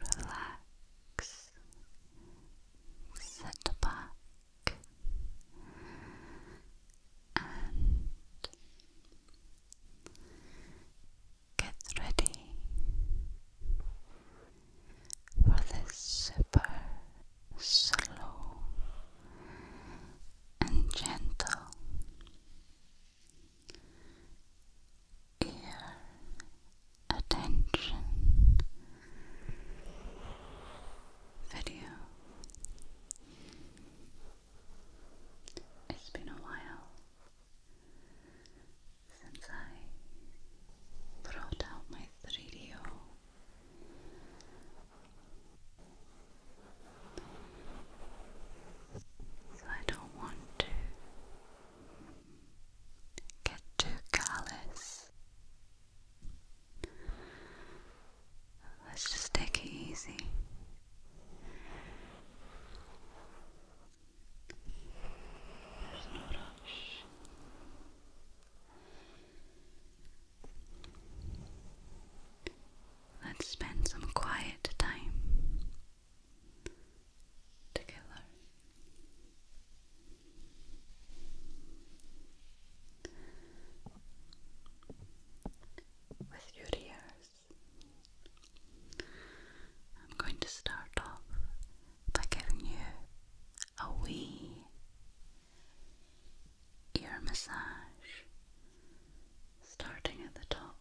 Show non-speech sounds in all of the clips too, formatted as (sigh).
Relax, sit back, and get ready for this super slow and gentle ear attention video. It's been a while since I brought out my 3DO. So I don't want to get too callous. Let's just take it easy. Let's spend some quiet time together. With your ears, I'm going to start off by giving you a wee ear massage, starting at the top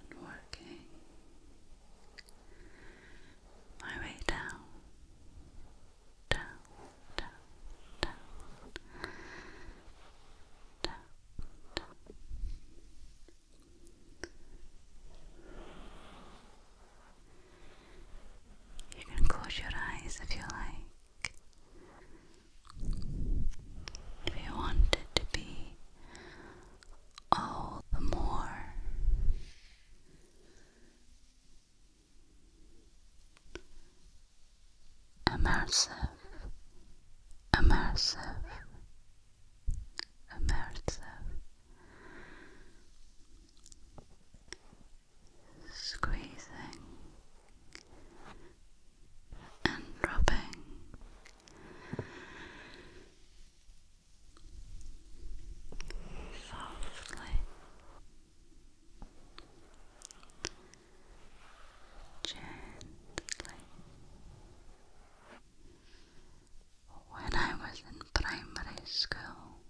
and working my way down, down, down, down, down, down. You can close your eyes if you like. If you want it to be all the more immersive, immersive, immersive. Squeezing and rubbing. Softly, gently, when I was in primary school,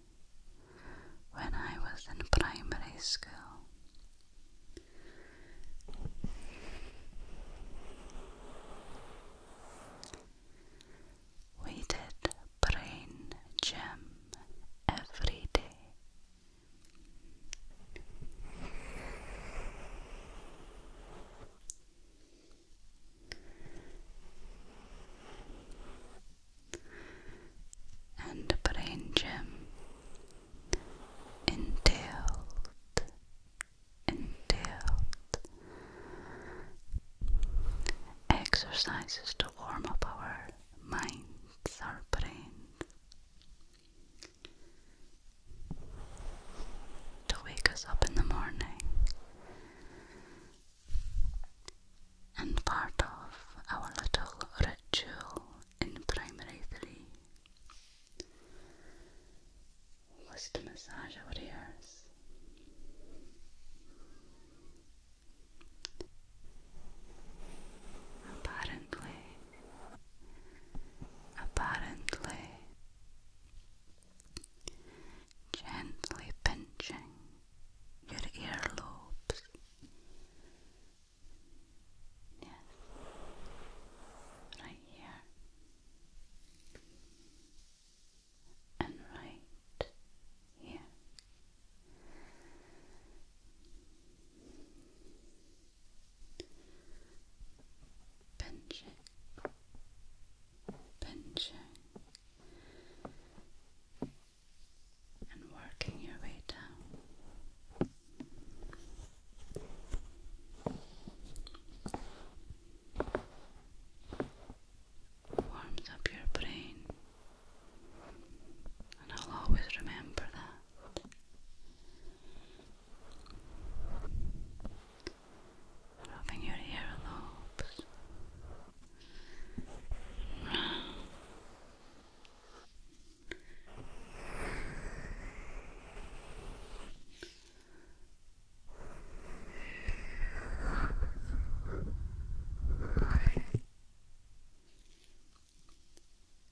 when I was in primary school, we did brain gym every day and brain gym entailed entailed exercises to warm up our minds, our brains to wake us up in the morning and part of our little ritual in primary three was to massage our ears. Apparently, apparently, gently pinching your earlobes. Yes, right here and right here. Pinch pinching and working your way down. Warms up your brain, and I'll always remember that. I'm rubbing your earlobes round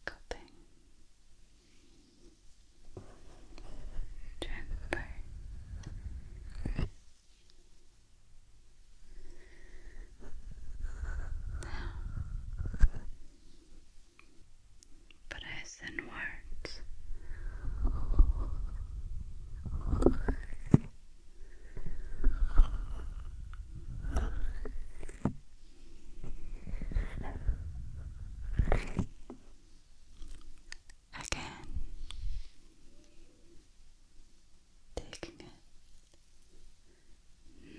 cupping gently down but as again, taking it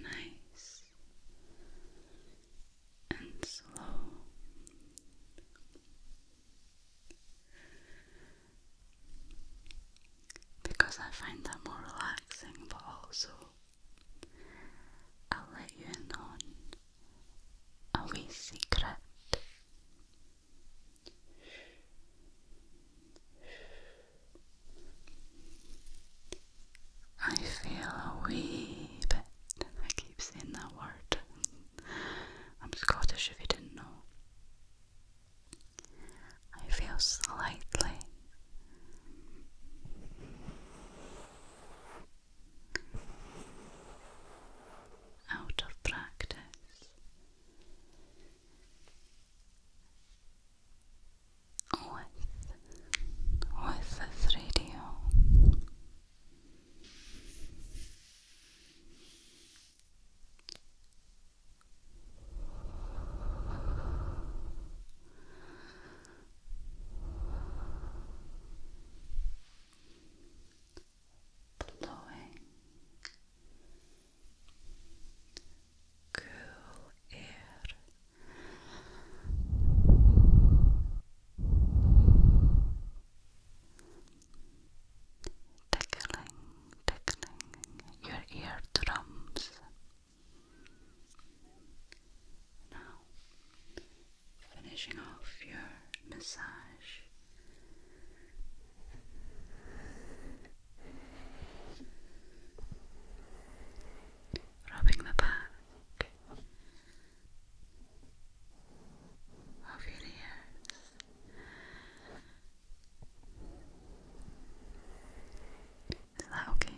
nice and slow. Because I find that more relaxing, but also I'll let you in on a wee secret I feel a wee bit. I keep saying that word. I'm Scottish if you didn't know. I feel slightly out of practice. With, with this radio, blowing cool air tickling, tickling your eardrums now finishing off your massage rubbing the back of your ears. Is that okay?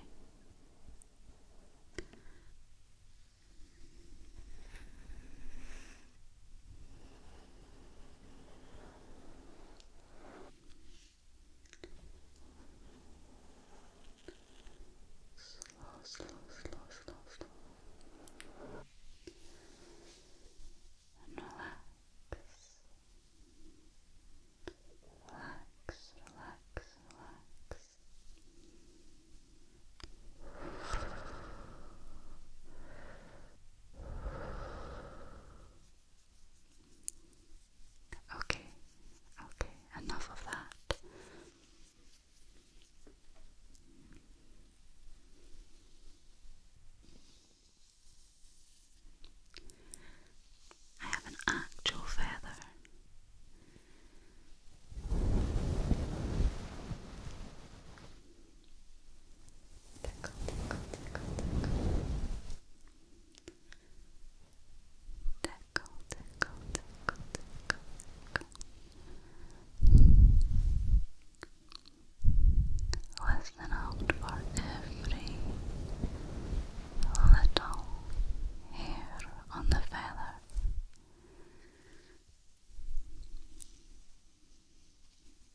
Slow, slow, slow, slow, slow. relax. Relax, relax, relax. Okay, okay, enough of that. I have an actual feather. Tickle, tickle, tickle, tickle. Tickle, tickle, tickle, tickle, tickle. Listen out for every little hair on the feather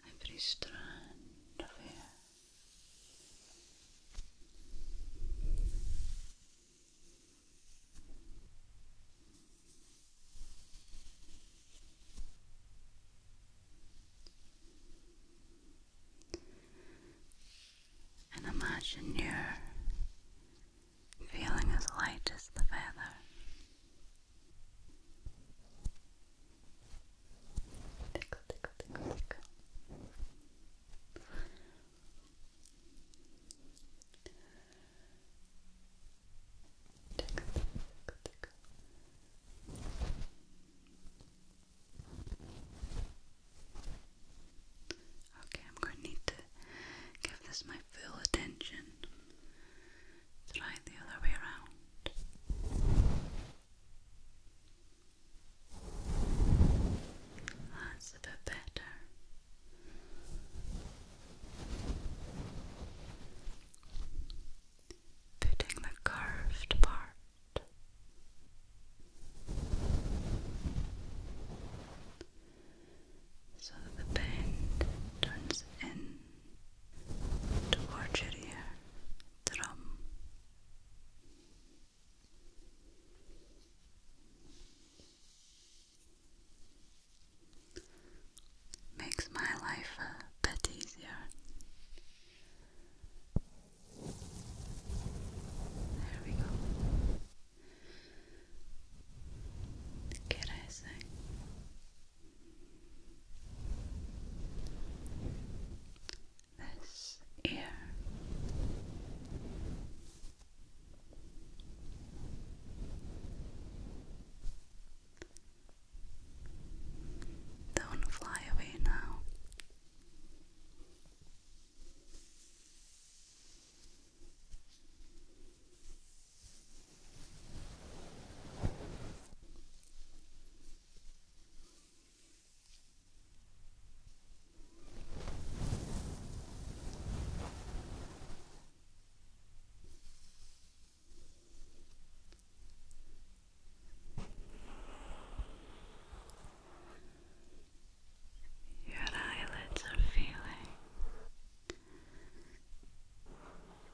every strand of hair. And imagine you feeling as light as the feather. Tickle, tickle, tickle, tickle. Tickle, tickle, tickle. Okay, I'm going to need to give this my full attention try the other way around. That's a better. Putting the curved part so the bend turns in towards your ear drum. Makes my life a bit easier. There we go. Get I this ear. Don't fly away now. Your eyelids are feeling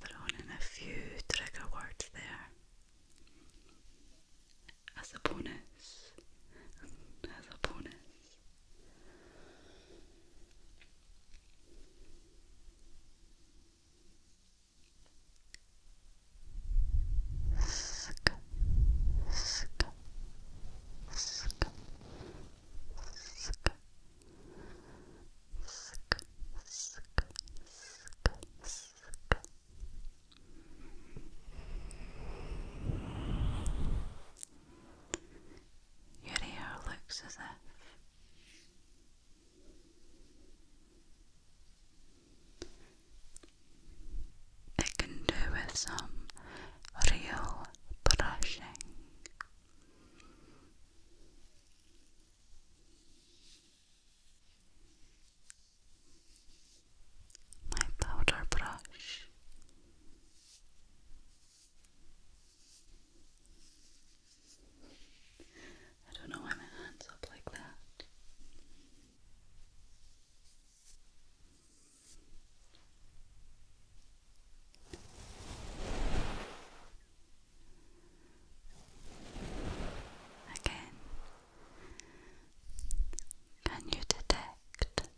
Thrown in a few trigger words there as a bonus, as a bonus. Your hair looks as if it can do with some real brushing my powder brush. I don't know why my hand's up like that. Again, can you detect?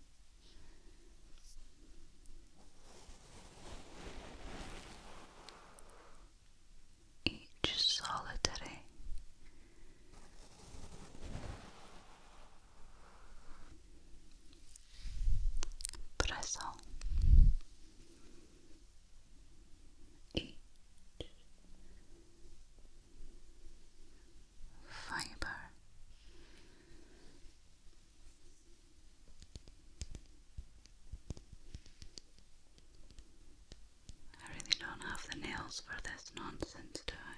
Each solitary bristle eight fiber I really don't have the nails for this nonsense, do I?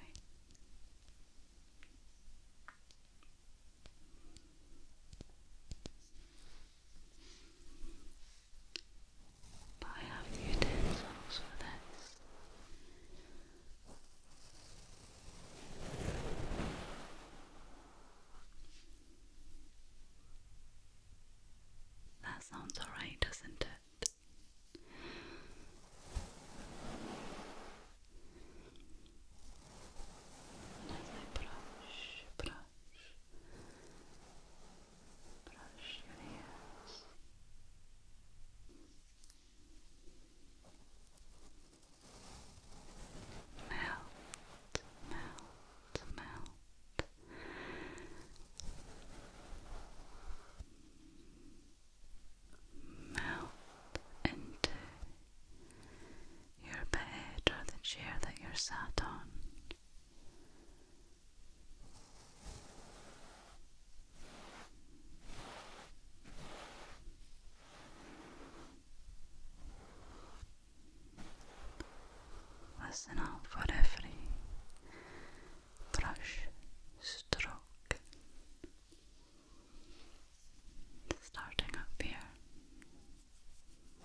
But I have utensils for this. That sounds alright, doesn't it? brush, brush your ears. Melt, melt, melt. Melt into your bed or the chair that you're sat on. Listen out for every brush stroke. Starting up here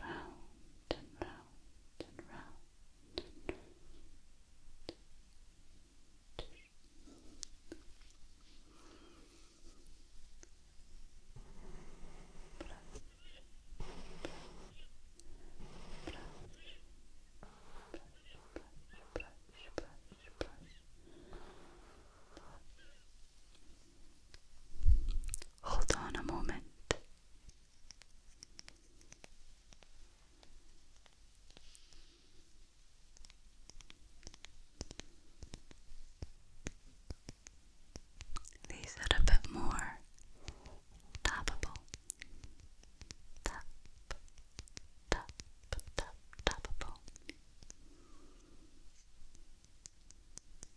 round and round and round and round. Brush, brush, brush. Brush, brush, brush, brush, brush. brush. Hold on a moment. These are a bit more tappable. Tap, tap, tap, tappable.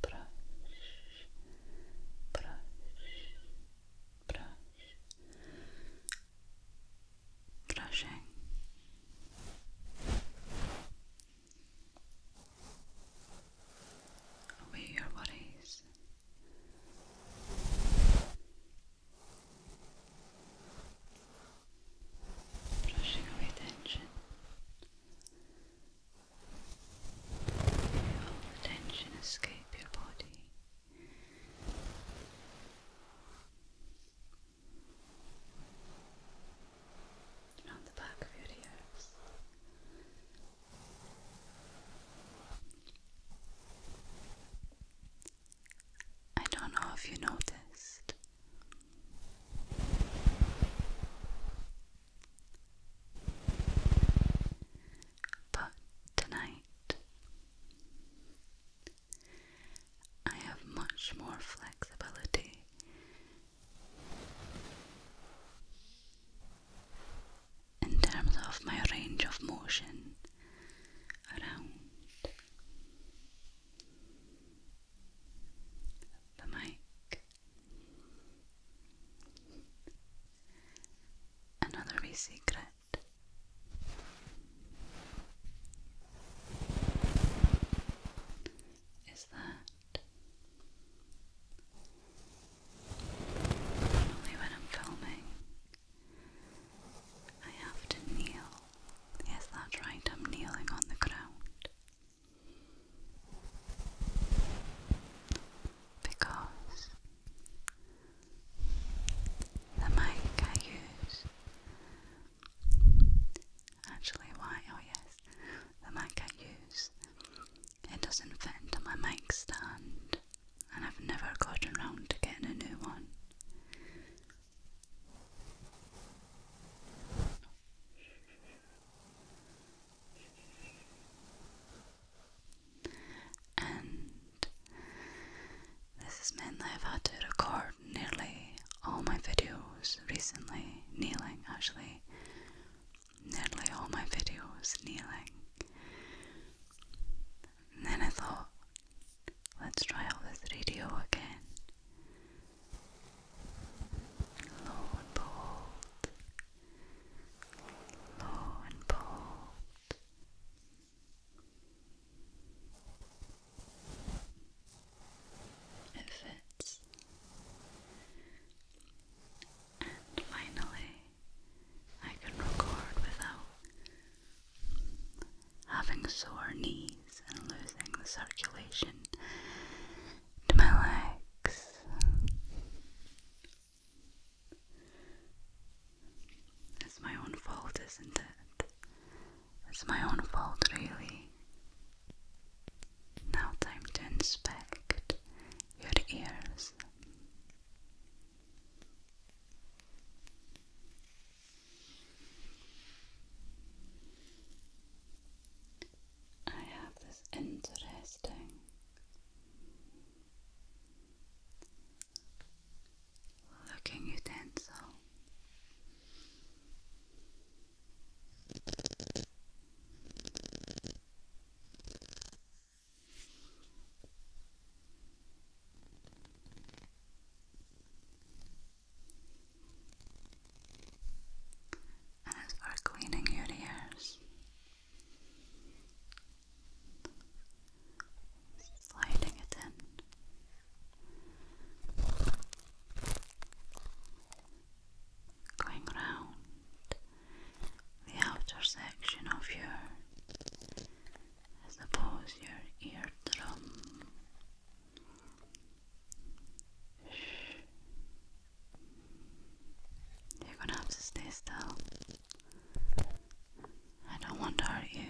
brush, brush, brush, brushing. Away your worries. Brushing away tension, Feel the tension escape your body. Around the back of your ears. I don't know if you noticed, but tonight, I have much more flexibility. In terms of my range of motion around the mic, Another secret. Is that normally when I'm filming, I have to kneel. Yes, that's right, I'm kneeling on the ground because the mic I use actually why oh yes the mic I use it doesn't fit into my mic stand and I've never gotten around to getting a new one. And this is meant that I've had to record nearly all my videos recently, kneeling actually. Nearly all my videos kneeling. then I thought, let's try out this radio again. Lo behold, low and bold. It fits. And finally, I can record without having sore knees and losing the circulation to my legs. It's my own fault, isn't it? It's my own fault, really. Now, time to inspect your ears. I have this interesting looking utensil. And as for cleaning your ears, Sliding it in. Going round the outer section of your, I suppose, your eardrum. Shh. You're gonna have to stay still. I don't want to hurt you.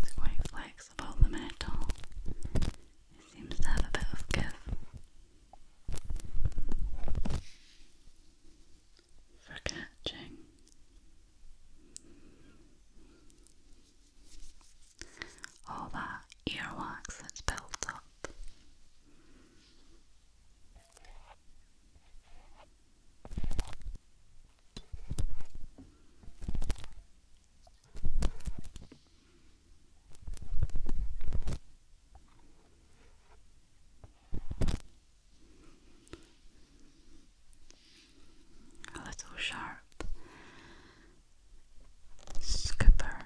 It's quite flexible, metal. It seems to have a bit of give. For catching. All that earwax that's built up. A little sharp skipper,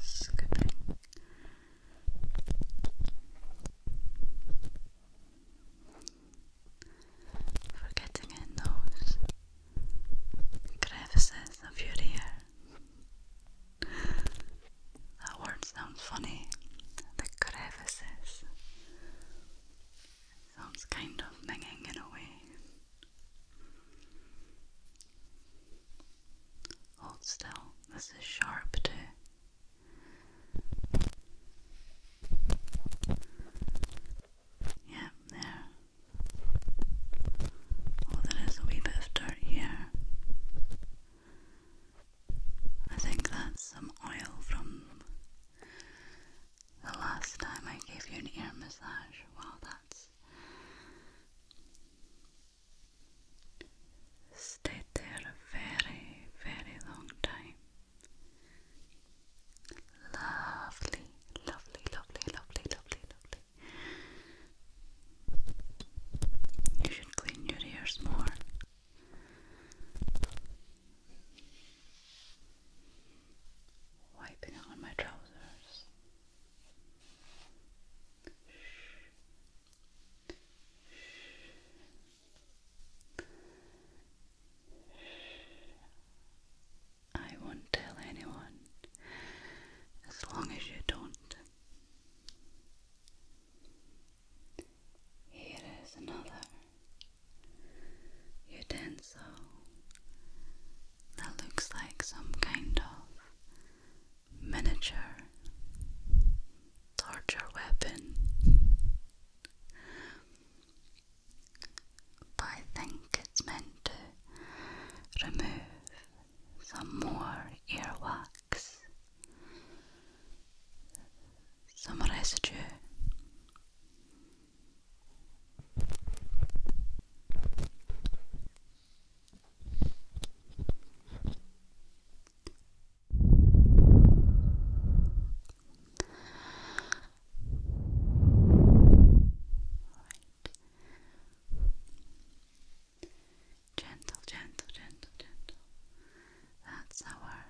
skipping forgetting in those crevices of your ear. That word sounds funny. The crevices. sounds kind of minging in a way. Hold still, this is sharp too. Yeah, there. Oh, there is a wee bit of dirt here. I think that's some oil from the last time I gave you an ear massage. Wow, that's stayed there a very, very long time. Lovely, lovely, lovely, lovely, lovely, lovely. You should clean your ears more. Wiping on my trousers. I won't tell anyone as long as you don't. Here is another utensil that looks like some kind of miniature torture weapon. But I think it's meant to remove some more earwax, some residue. Gentle, gentle, gentle, gentle. That's our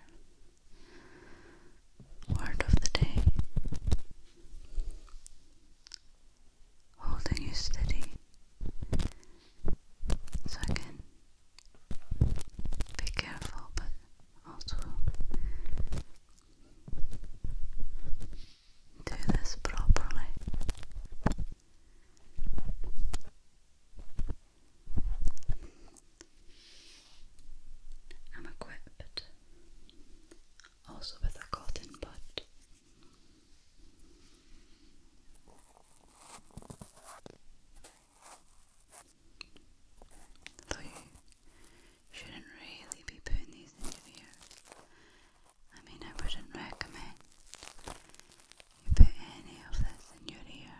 word of the day. Holding you steady so I be careful, but also do this properly. I'm equipped also with a cotton bud. So you shouldn't really be putting these into here. I mean, I wouldn't recommend you put any of this in your ear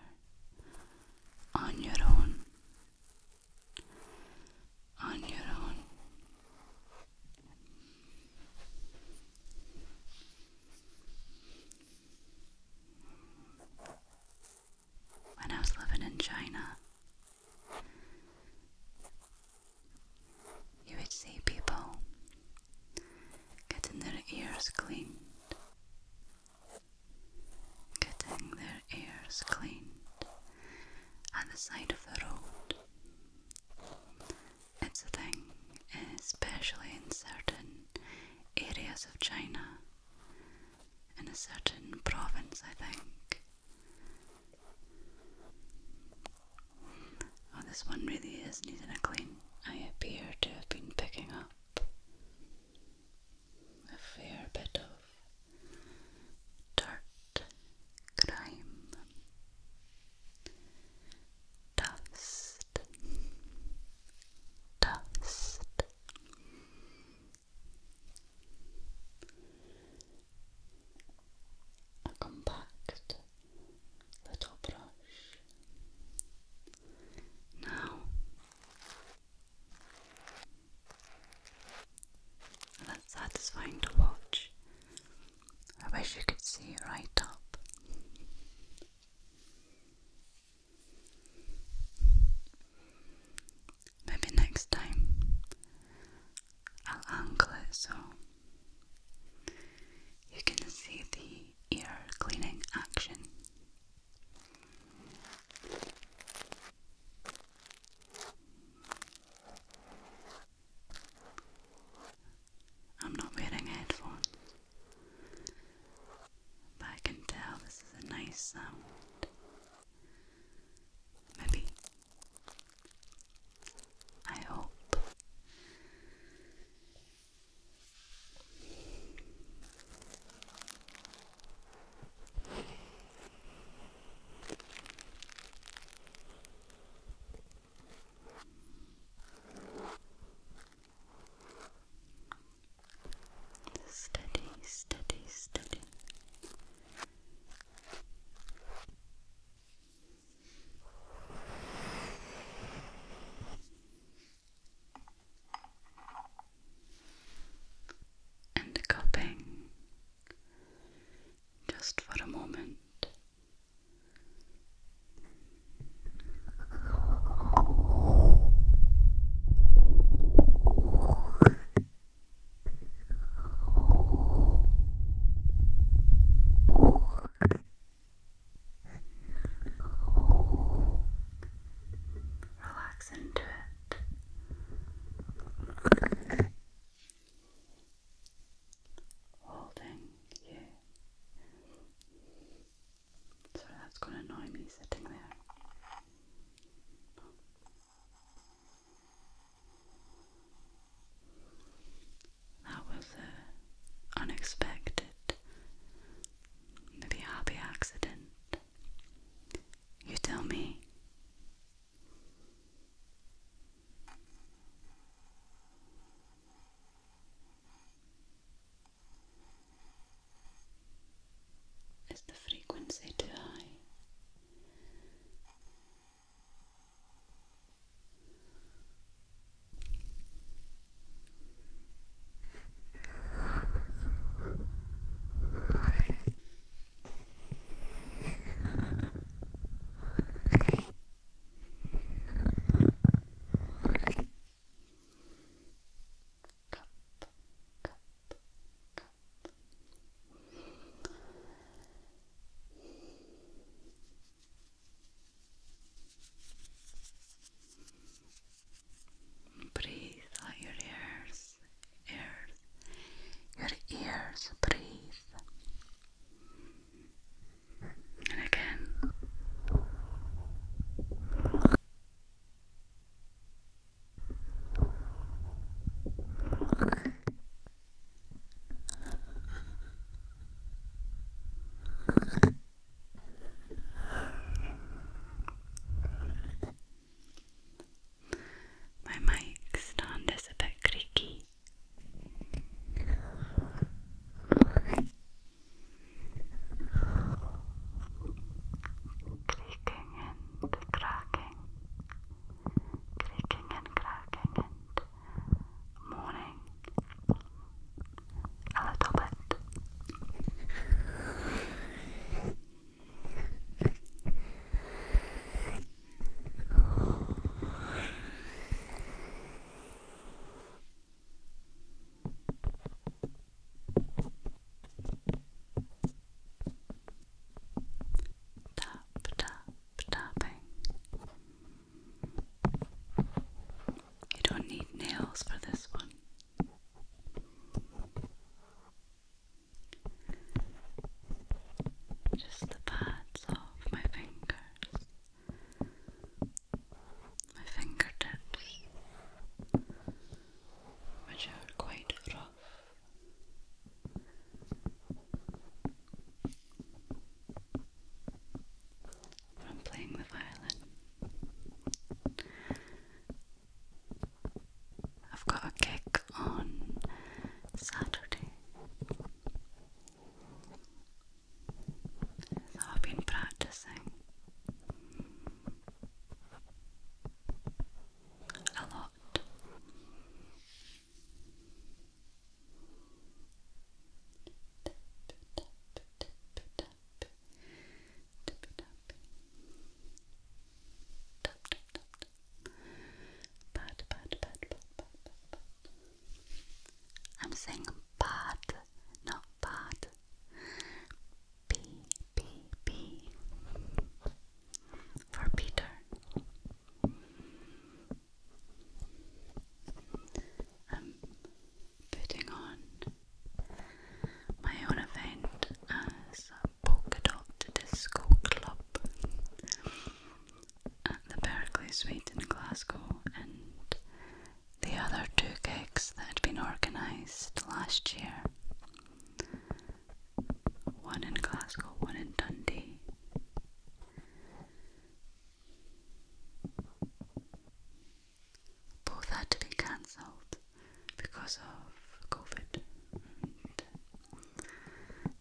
on your own. On your own when I was living in China, you would see people getting their ears cleaned, getting their ears cleaned at the side of the road. It's a thing, especially in certain areas of China in a certain province, I think. Oh, this one really is needing a clean. I appear to have been picking up a fair bit of dirt, grime, dust, dust a compact little brush. Now that's satisfying to watch. I wish you could see right up. Maybe next time I'll angle it so you can see the ear cleaning action. I'm not wearing headphones, but I can tell this is a nice sound. Maybe. I hope. Steady, steady, steady. And cupping just for a moment. Relax into it. Holding you. Sorry, that's gonna annoy me sitting there. That was a uh, unexpected, maybe happy accident. You tell me. Is the frequency too high? Breathe out your ears, ears, your ears, breathe. And again. My mic stand is a bit creaky. Creaky cracking and and cracking and a little bit. Tap, tap, tapping. You don't need nails for this one. Just the pads off my fingers, my fingertips which are quite rough. From playing the violin, I've got a gig on Saturday, so I've been practicing a lot. I'm saying pat, not pat. P, P, P for Peter. I'm putting on my own event as a polka dot disco club at the Berkeley Suite in Glasgow and the other two gigs that had been organised last year one in Glasgow, one in Dundee. Both had to be cancelled because of COVID and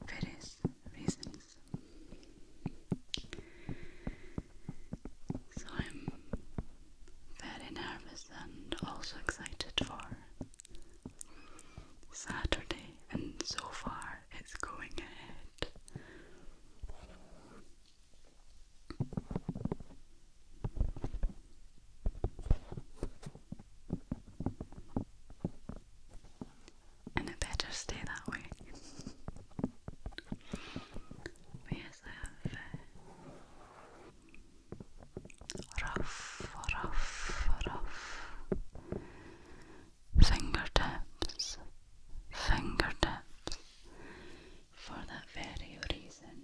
various reasons. So I'm very nervous and also excited for Saturday, and so far it's going ahead. And it better stay that way. yes, I have uh, rough, rough, rough fingertips, fingertips for that very reason.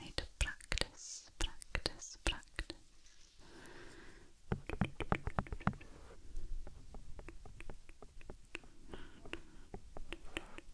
I need to practice, practice, practice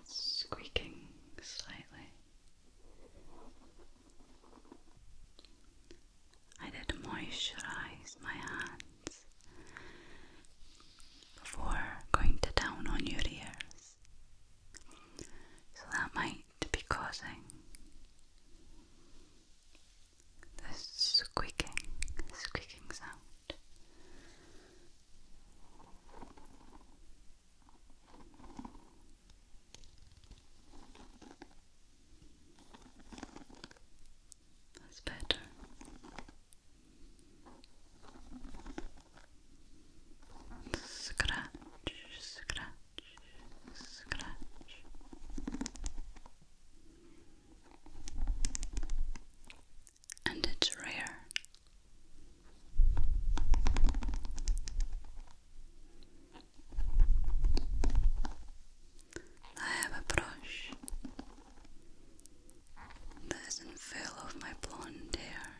It's squeaking slightly. I did moisturize my hands before going to town on your ears, so that might to be causing this squeaking, squeaking sound. That's better. Scratch, scratch, and it's rare. I have a brush that isn't full of my blonde hair.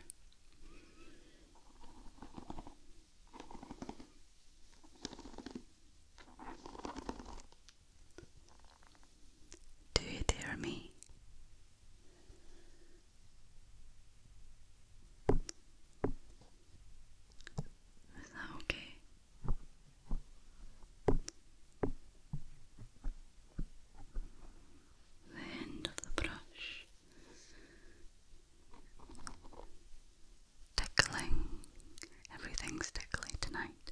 Do you hear me? Is that okay? The end of the brush Tickling. Everything's tickly tonight.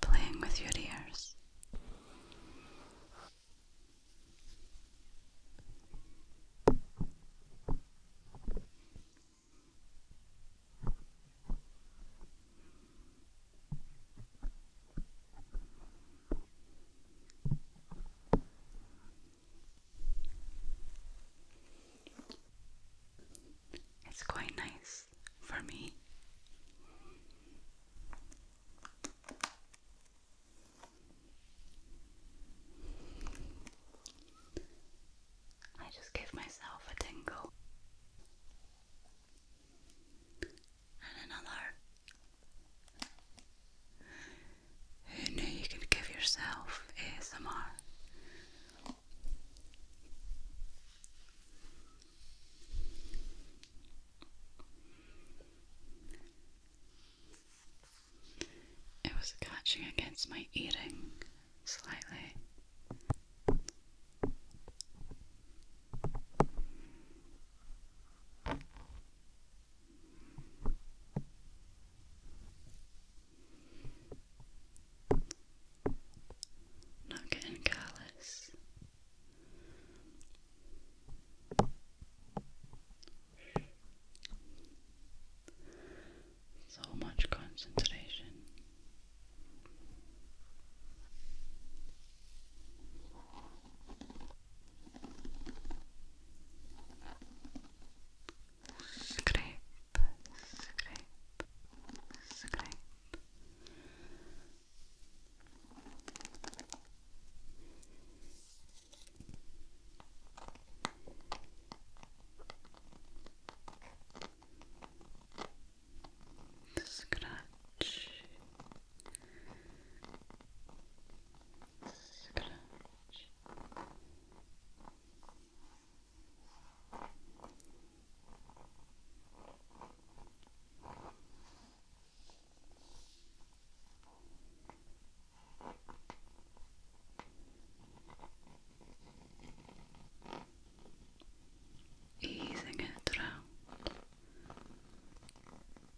Playing with your ears. It's quite nice for me. I just give myself a tingle and another who knew you could give yourself ASMR? It was catching against my earring slightly. Not getting careless. So much concentration scrape, scrape, scrape. Scratch, Scratch. Easing it around.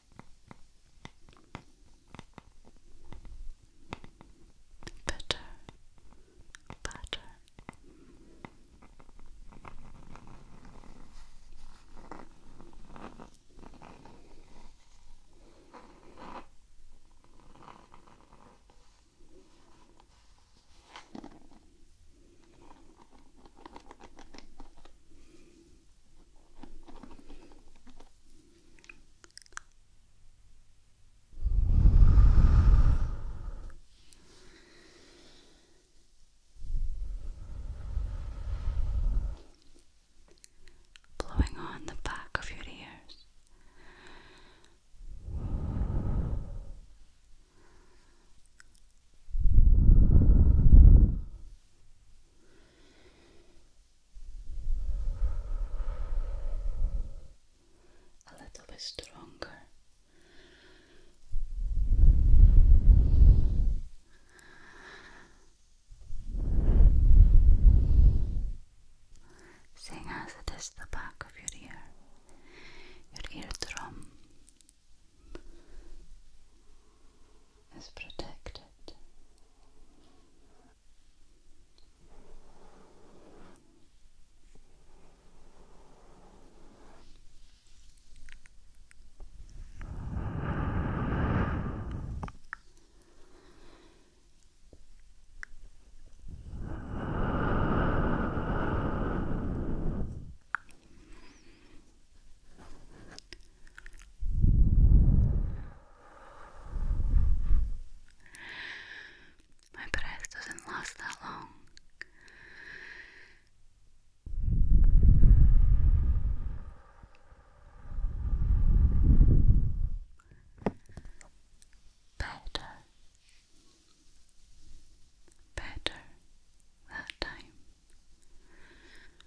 Better, better. Blowing on the back of your ears. Blowing a little bit stronger. Seeing as it is the back of your ear, your eardrum, is protected. My breath doesn't last that long. Better. Better that time.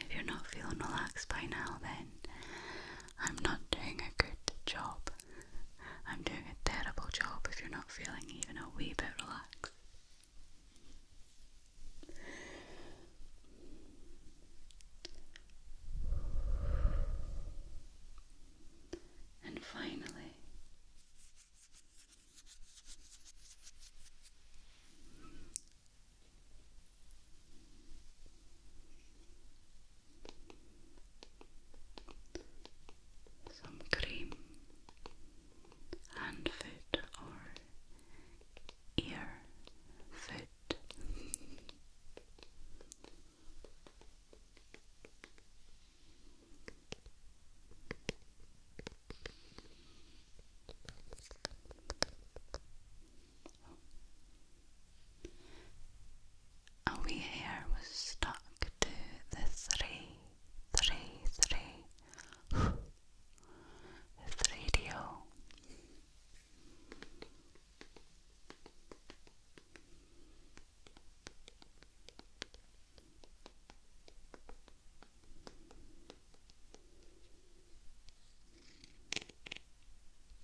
If you're not feeling relaxed by now, then I'm not doing a good job. I'm doing a terrible job if you're not feeling even a wee bit relaxed. And finally, some cream and food or ear food. A wee hair was stuck to the three, three, three, (sighs) three deal.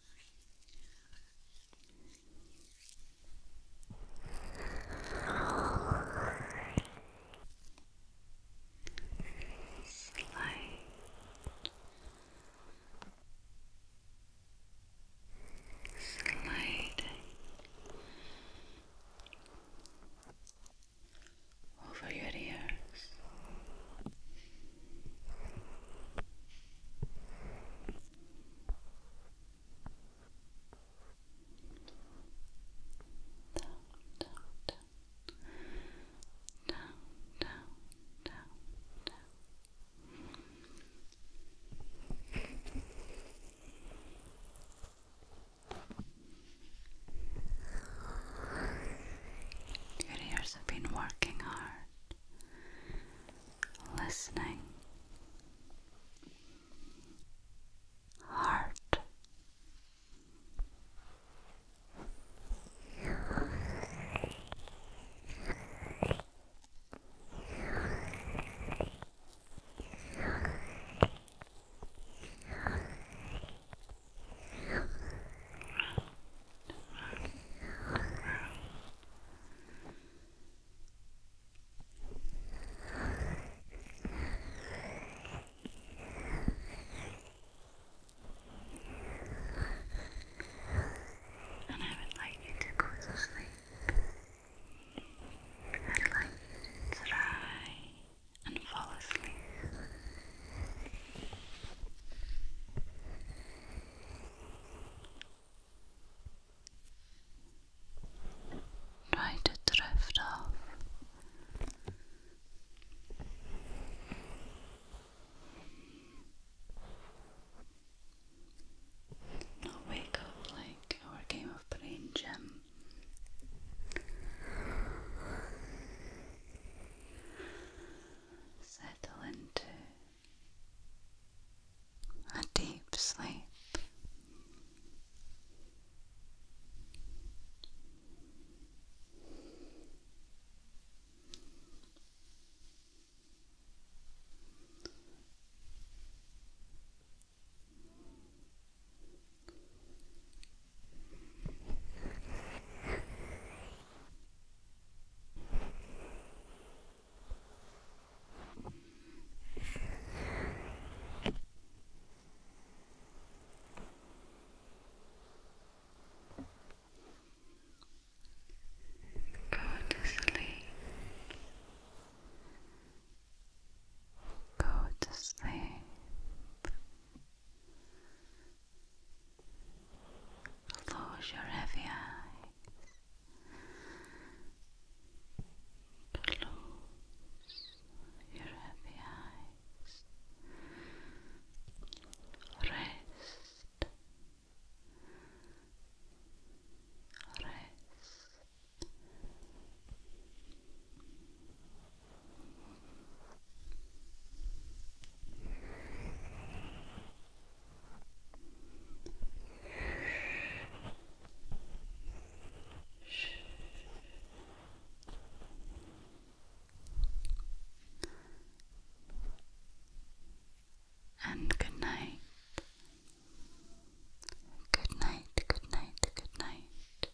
Slow. Sliding over your ears, your ears have been working hard listening, heart. And I would like you to go to sleep. I'd like you to try and fall asleep. Try to drift off. Not wake up like our game of brain gym. Settle into a deep sleep. Go to sleep. Go to sleep. Close your heavy eyes. Close your heavy eyes. Rest. Rest. And good night. Good night, good night, good night.